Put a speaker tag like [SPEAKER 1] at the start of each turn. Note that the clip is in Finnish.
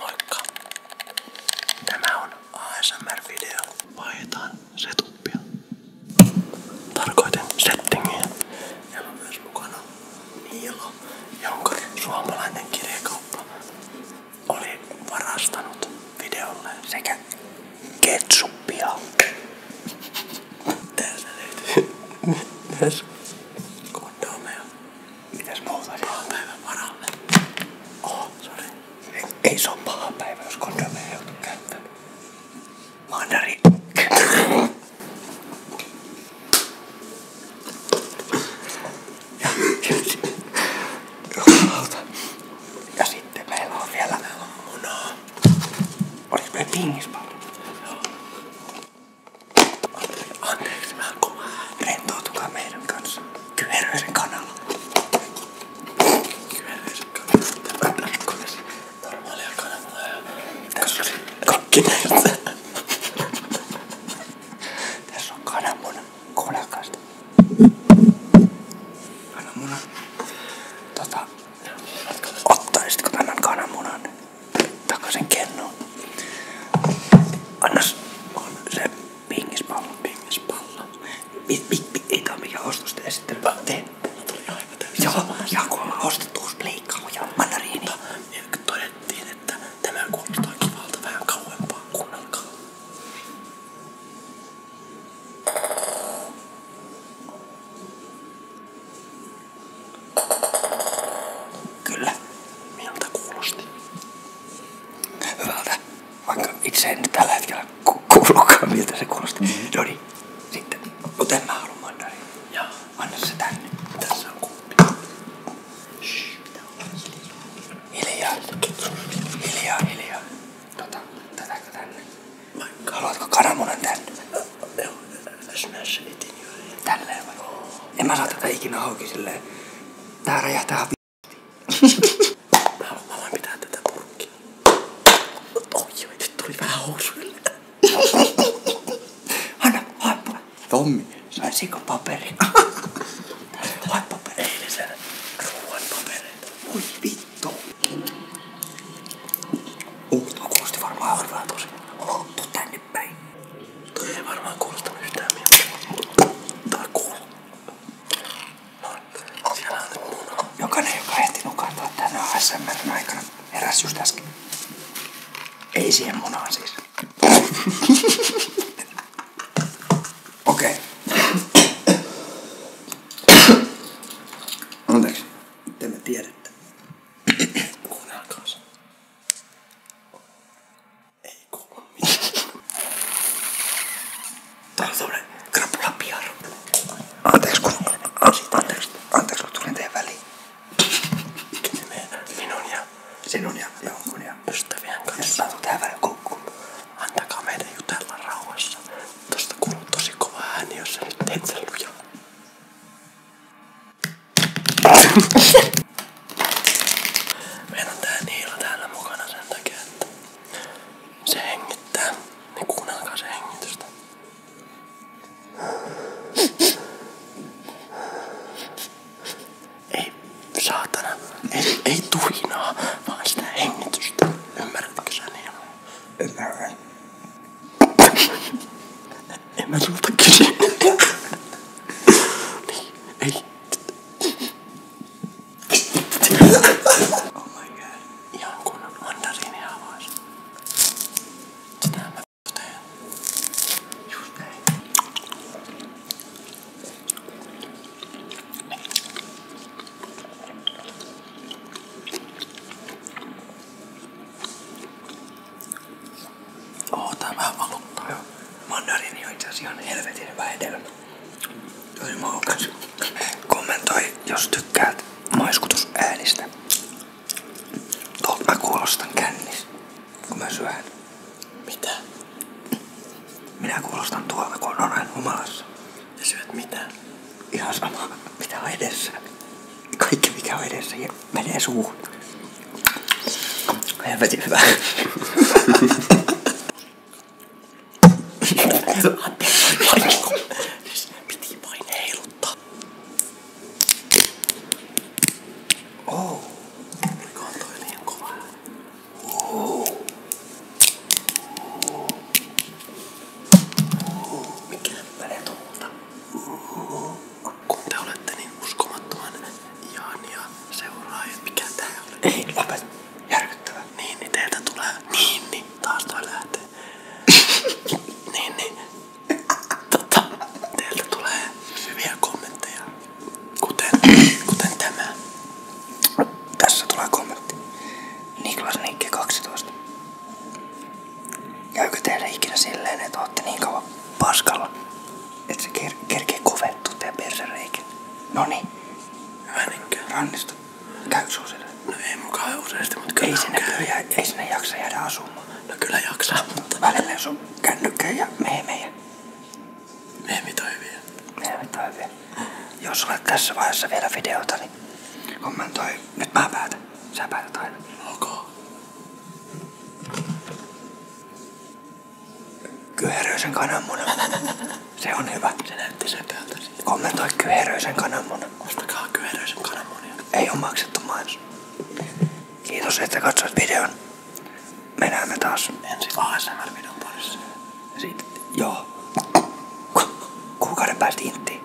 [SPEAKER 1] Moikka! Tämä on ASMR-video. Vaihdetaan setupia. Tarkoitin settingiä. Ja on myös mukana Niilo, jonka suomalainen kirjakauppa oli varastanut videolle sekä ketsuppia. Täältä löytyy myös kondomeja. Mitäs muuta siellä? Pahan päivän varalle. Oh, sorry. Ei, ei se on paha päivä, jos kondomeja ei joutu käyttämään. Mandari. Ja, ja, ja sitten meillä on vielä munaa. Oliko meillä pingispallo? Anteeksi, mä koma. Rentoutukaa meidän kanssa. Kyheröisen kanalla. Kyheröisen kanalla. Normaalia kanavalla ja... Tässä oli kaikki näistä. Tässä on kananmuna. Kuunnelkaasta. Kananmuna. Tota... Ottaisitko tämän kananmunan? takaisin kennoon. Annas on se pingispallo. Pingispallo. Mit, mit, mit, ei tää mikään ostosten esittely. Mä tein. Mä tulin aivan täysin. Joo, ja kun mä ostettu uusi pleikkaa ja mandariini. Mutta todettiin, että tämä kuulostaa kivalta vähän kauempaa. Kuunnelkaa. Kyllä, miltä kuulosti. Hyvältä, vaikka itse en tällä hetkellä ku- kuulukaan, miltä se kuulosti. No niin, sitten otan mä haluan mandariin. Joo. Anna se tänne. Tässä on kuppi. Shh. Hiljaa. Hiljaa, hiljaa. Tota, tätäkö tänne? Haluatko kananmunan tänne? Joo smash itin juuri. Tälleen vai? Oh. En mä saa tätä ikinä auki silleen. Tää räjähtää hapi. mä, mä voin pitää tätä purkkia. Oi, oi, nyt tuli vähän housuille. Hanna, haippa. Tommi, saisiko paperin? haippa paperin. Eilisen ruoan papereita. Voi vittu. Uh, tuo kuulosti varmaan hyvää tosi. Oh, tuu tänne päin. Toi ei varmaan kuulostanut yhtään mieltä. Tää kuuluu. No, siellä on nyt muna. Jokainen, joka ehti nukahtaa tänä ASMRn aikana, heräs just äsken. Ei siihen munaan siis. Okei. Okay. Anteeksi. Tämä tiedettä. Kuunnelkaa se. Ei kuulu mitään. Tää on tommonen krapula piaro. Anteeksi kun... Minun ja... Sinun ja jonkun ja... Ystävien kanssa. Ja tähän väliin koukkuun. Antakaa meidän jutella rauhassa. Tästä kuuluu tosi kova ääni, jos sä nyt teet sen lujaa. Meillä on tää Niila täällä mukana sen takia, että se hengittää. Niin kuunnelkaa se hengitystä. Ei saatana, ei, ei tuhinaa, vaan sitä hengitystä. Ymmärrätkö sä Niila? en mä sulta kysy. niin, ei. oh my god. Ihan kunnon mandariinia avaisi. Sitä mä teen. Just näin. Oo, tää vähän valuttaa jo. Mandariini on itse asiassa ihan helvetin hyvä hedelmä. Tosi maukas. Kommentoi, jos tykkäät maiskutusäänistä. Tuolta mä kuulostan kännis, kun mä syön. Mitä? Minä kuulostan tuolta, kun on aina humalassa. Ja syöt mitä? Ihan sama, mitä on edessä. Kaikki mikä on edessä ja menee suuhun. Helvetin hyvä. Piti vain heiluttaa. Oh. Oliko toi liian kova? Mikä menee tuolta? Kun te olette niin uskomattoman ihania seuraajia, mikä tää oli? Ei, lopet. Järkyttävä. Niin, niin teiltä tulee. Niin, niin. Taas toi lähtee. niin, niin. Tota, teiltä tulee hyviä kommentteja kuten, kuten tämä. Tässä tulee kommentti. Niklas Nikke 12. Käykö teille ikinä silleen, että ootte niin kauan paskalla, että se ker kerkee kovettua teidän persereikin? Noniin. Hyvä niinkään. Rannista. Käy suosille. No ei mukaan useasti, mutta kyllä ei sinne, kyllä, ei sinne jaksa jäädä asumaan. No kyllä jaksaa, mutta... Välillä jos on kännykkä ja meemejä. Meemit on hyviä. Meemit on hyviä. Jos olet tässä vaiheessa vielä videota, niin kommentoi. Nyt mä päätän. Sä päätät aina. Okay. Kyheröisen kananmuna. Se on hyvä. Se näytti sen päältä. Kommentoi kyheröisen kananmuna. Ostakaa kyheröisen kananmunia. Ei ole maksettu mainos. Kiitos, että katsoit videon me näemme taas ensi ASMR-videon parissa. Sitten, joo. Kuukauden päästä inttiin.